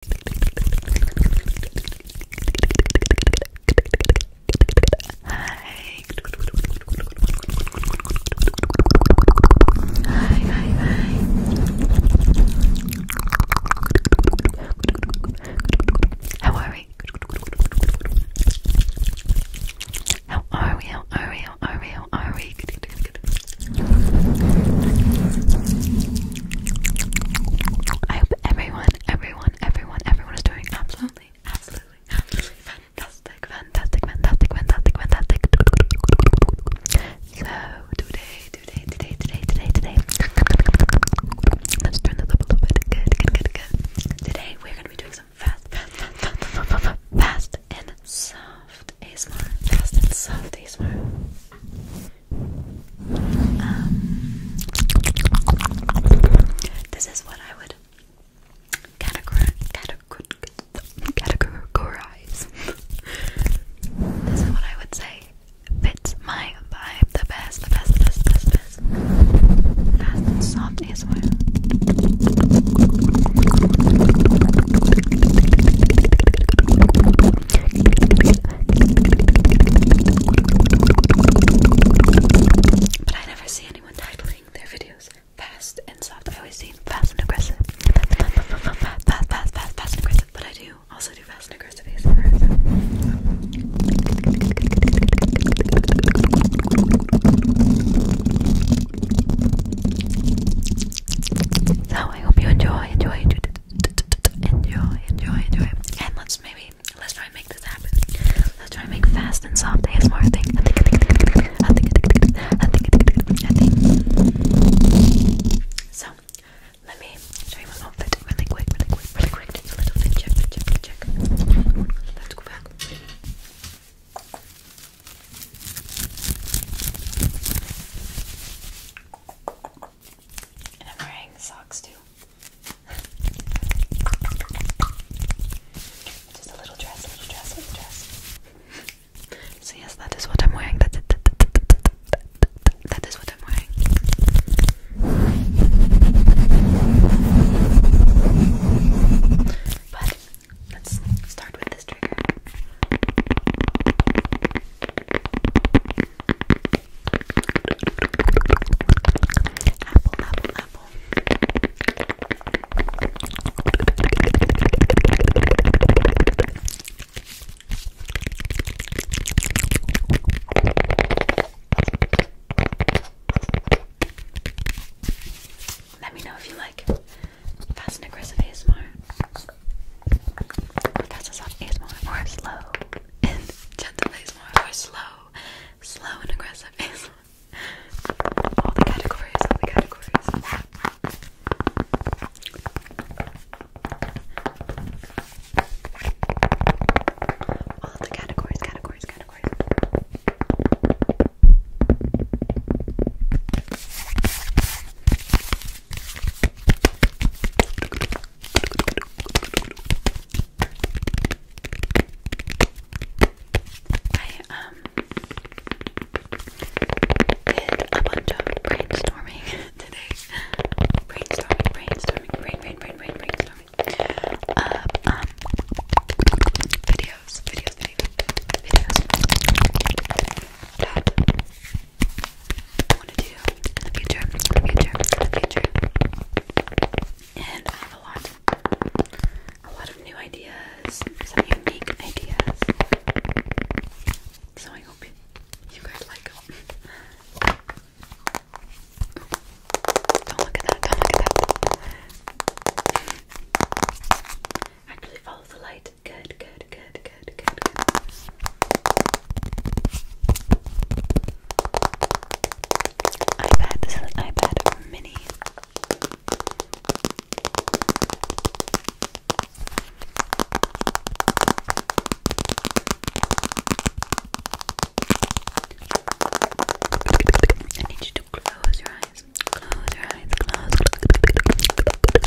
Hi. Hi, hi, How are we? How are we? How are we? How are we? I hope everyone, everyone, everyone, everyone is doing absolutely, absolutely, absolutely fantastic, fantastic, fantastic, fantastic, fantastic. So today, today, today, today, today, today. Let's turn this up a little bit. Good, good, good, good. Today we're gonna be doing some fast, fast, fast, fast, fast, fast, fast and soft ASMR. Fast and soft ASMR. Um, this is what I would categorize. this is what I would say fits my vibe the best, the best, the best, the best, best. Fast and soft is but I never see anyone titling their videos fast and soft. I always see fast and aggressive. Fast, fast, fast, fast, and aggressive. But I do also do fast and aggressive ASMR. So. so I hope you enjoy, enjoy, enjoy enjoy, enjoy, enjoy. And let's maybe let's try and make this happen. Let's try and make fast and soft ASMR thing. I So let me show you my outfit really quick, really quick, really quick. Let's go back. And I'm wearing socks too. Just a little dress, little dress, little dress. so yes, that is what I'm wearing. that is what I'm wearing. But let's start with this trigger. Apple, apple, apple. Let me know if you like fast and aggressive ASMR. That's a soft ASMR slow and gentle ASMR or slow, slow and aggressive ASMR. all the categories. All the categories, categories, categories. I um, did a bunch of brainstorming today. Brainstorming, brainstorming, brain, brain, brain, brain, brainstorming. Uh, um videos, videos, videos, videos. I want to do in the future, in the future, in the future. And I have a lot, a lot of new ideas, some unique ideas. So I hope you guys like Don't look at that, don't look at that. Actually follow the light. Good, good, good, good, good, good, good. iPad, iPad mini. I need you to close your eyes. Close your eyes.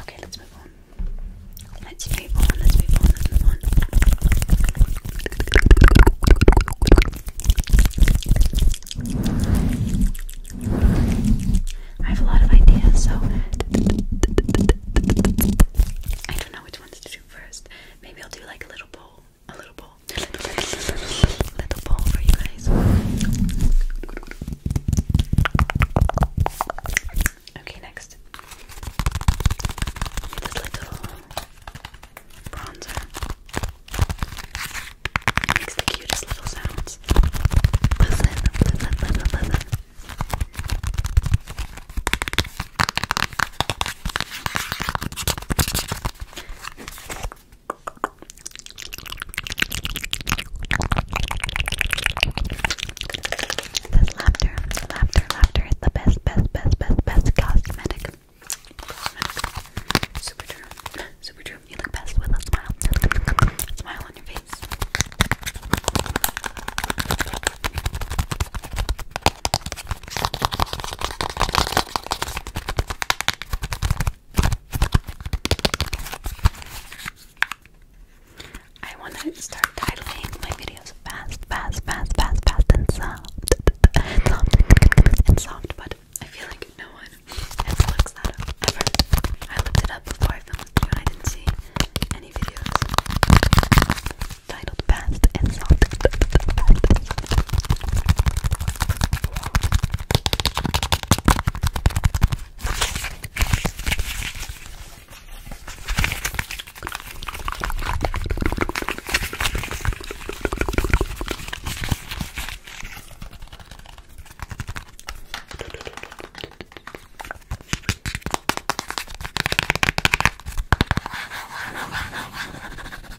Okay, let's move on. Let's move on, let's move on, let's move on. I have a lot of ideas, so I don't know which ones to do first. Maybe I'll do like a little bowl a little ball, a little, ball little, little bowl for you guys. Okay, next, little bronzer makes the cutest little sounds. This laughter, laughter, laughter the best, best, best, best, best Cosmetic. Super true. Super true. You look best with a smile. Smile on your face. I want to start titling my videos fast, fast, fast, fast, fast, and soft, soft, and soft. But I feel like no one has looked that up I looked it up before I filmed, and I didn't see any videos titled Fast and Salty.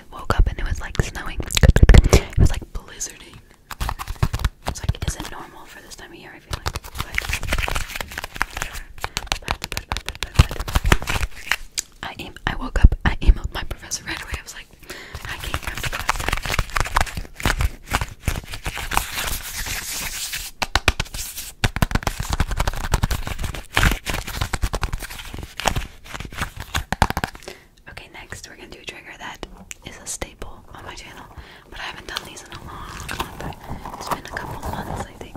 I woke up and it was like snowing. It was like blizzarding. It's like, is it normal for this time of year? I feel like. I woke up. I emailed my professor right away. I was like, I can't come Okay, next we're gonna do a trigger that is a staple on my channel, but I haven't done these in a long time. It's been a couple months, I think.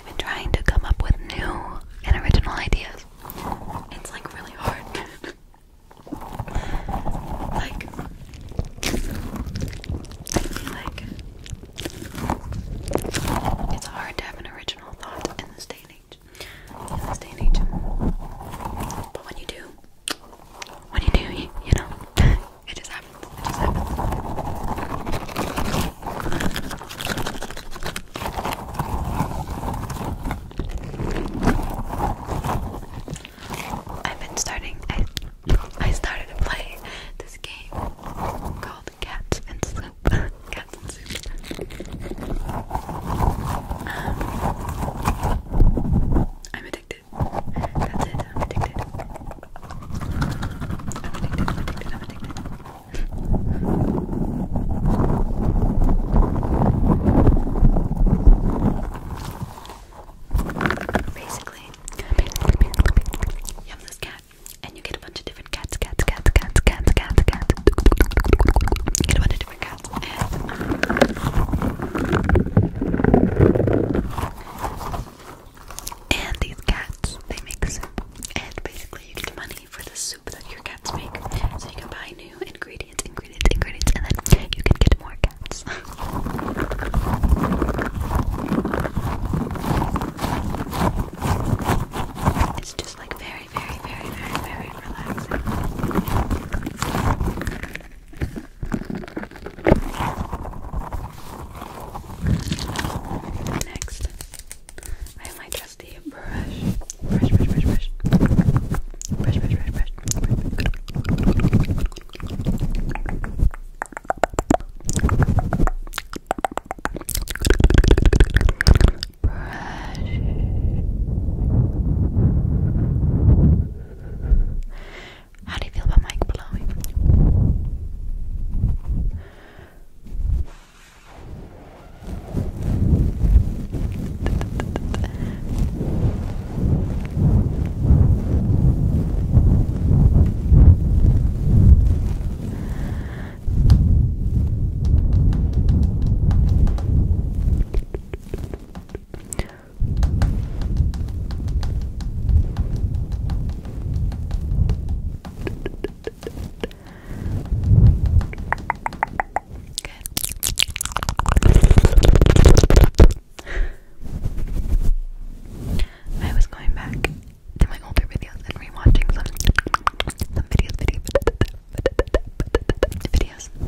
I've been trying to come up with new and original ideas. It's like really hard. like, like, it's hard to have an original thought in this day and age. In this day and age. But when you do, when you do, you, you know, It just happens. It I've been starting. I I started to play this game called Cats and Soup. Cats and Soup. Um, I'm addicted. That's it. I'm addicted. I'm addicted, I'm addicted, I'm addicted. Basically, you have this cat, and you get a bunch of different cats, cats, cats, cats, cats, cats, cats. You get a bunch of different cats, and um, and these cats, they make soup. And basically you get money for the soup that your cats make. So you can buy new ingredients, ingredients, ingredients, and then you can get more cats. it's just like very, very, very, very, very relaxing. Next, I have my trusty brush. Brush, brush, brush, brush. Brush, brush, brush, brush. Brush. How do you feel about mic blowing? I was going back to my older videos and rewatching some videos, um,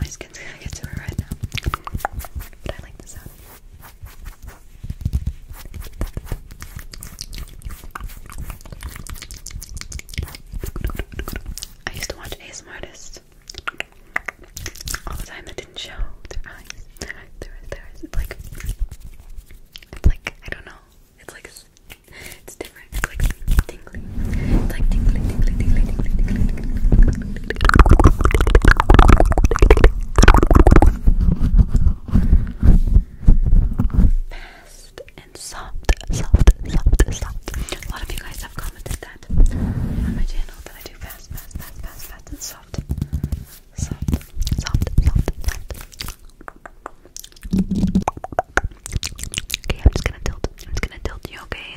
My skin's gonna get super red now. But I like the I used to watch ASMR artists all the time that didn't show their eyes. Their eyes, their eyes, It's like, it's like, I don't know. It's like, it's different. It's like tingling. It's like tingling, tingling, tingling, tingling, tingling. Fast and soft, soft, soft, soft. A lot of you guys have commented that on my channel that I do fast, fast, fast, fast, fast and soft. Soft, soft, soft, soft. Okay, I'm just gonna tilt. I'm just gonna tilt you, okay?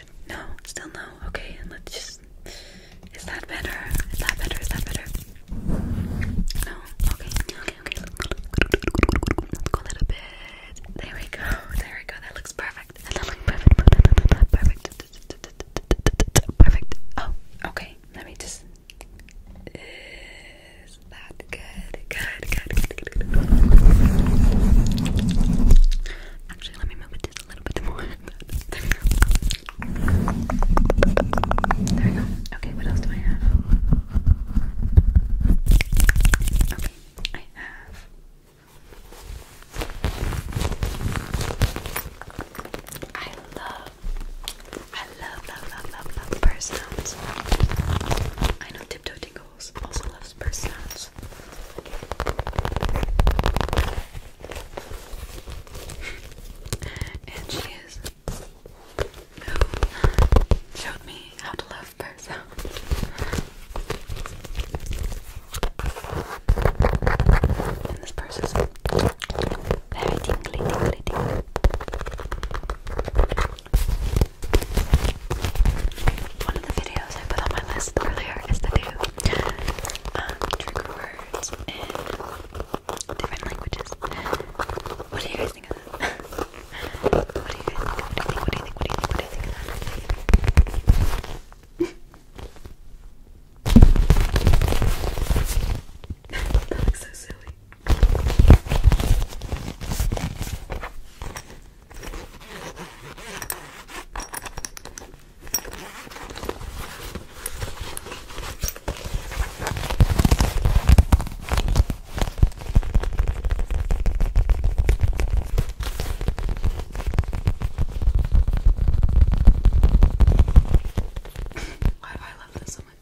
Good. No, still no. Okay, let's just. Is that better? Is that better? Is that better? No. Okay. Okay. Okay. Let's go a little bit. There we go. There we go. That looks perfect. That looks perfect. Perfect. Perfect. Oh. Okay. Let me just. Is that Good. Good. Good. Good. Good. Actually, let me move it just a little bit more. there we go. Okay, what else do I have? Okay, I have. I love, I love, love, love, love, love purse sounds. I know tiptoe also loves purse and she is showed me how to love purse and this purse is very tingly, tingly, tingly. One of the videos I put on my list earlier is to do um, trigger words in different languages. What do you guys think of that? what do you guys think? What do you think? What do you think? What do you think? What do you think that looks so silly. Why do I love this so much?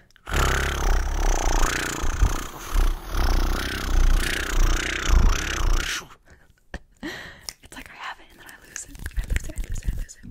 it's like I have it and then I lose it. I lose it, I lose it, I lose it.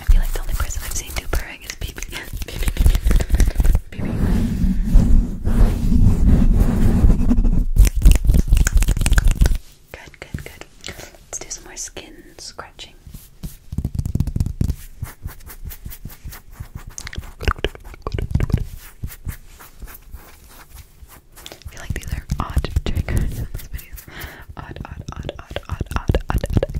I feel like the only person I've seen do purring is BB. Good, good, good. Let's do some more skin scratching. I feel like these are odd triggers odd, odd, odd, odd, odd, odd, odd, odd.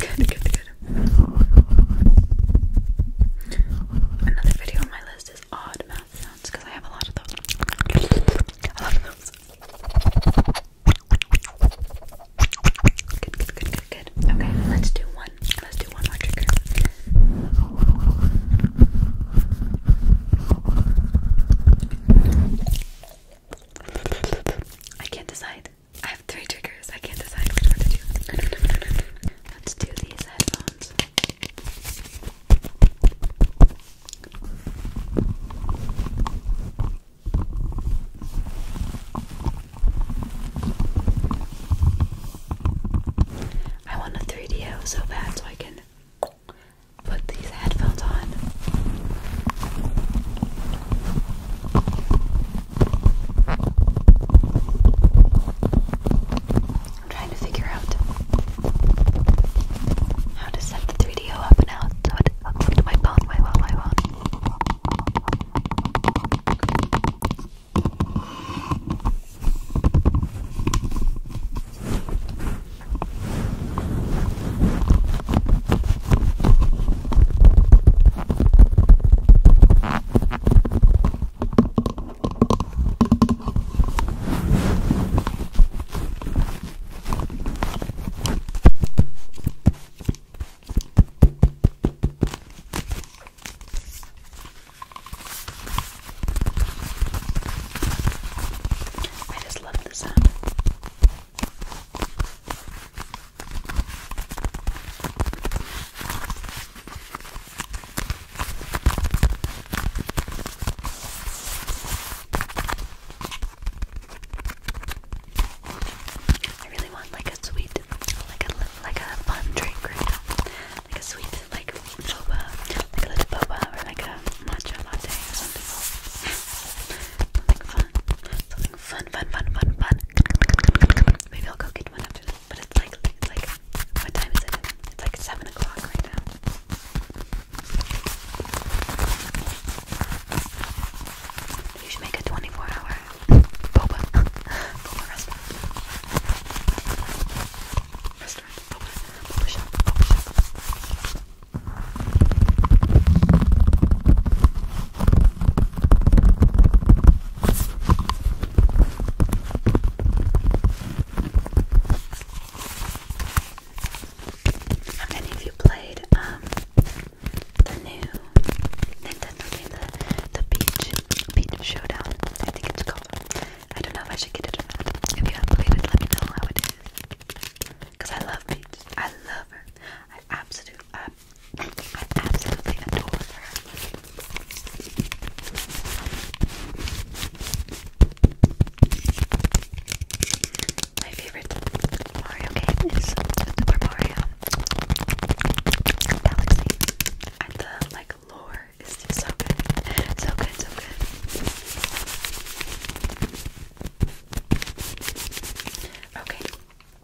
Good, good, good, Another video on my list is odd mouth sounds because I have a lot of those. A lot those. Good, good, good, good, good. Okay, let's do one. Let's do one more trigger. I can't decide. I have three triggers. I can't decide which one to do. Let's do these headphones. I want a 3DO so bad so I can put these headphones on. I'm trying to figure out how to set the 3DO up and out so it hooks up to my phone. Wait, wait, wait, wait. I just love the sound. I really want like a sweet, like a like a fun drink like a sweet like boba, like a little boba or like a matcha latte or something. fun, something fun, fun, fun, fun, fun. Maybe I'll go get one after but it's like, like, what time is it? It's like seven o'clock right now. You should make a twenty-four hour boba, boba restaurant. How many of you played um, the new Nintendo the, the Beach, Beach Showdown? I think it's called. I don't know if I should get it or not. If you have played it, let me know how it is. Because I love Beach. I love her absolute, I uh, absolutely adore her. My favorite Mario game is Super Mario and the like lore is so good, so good, so good. Okay.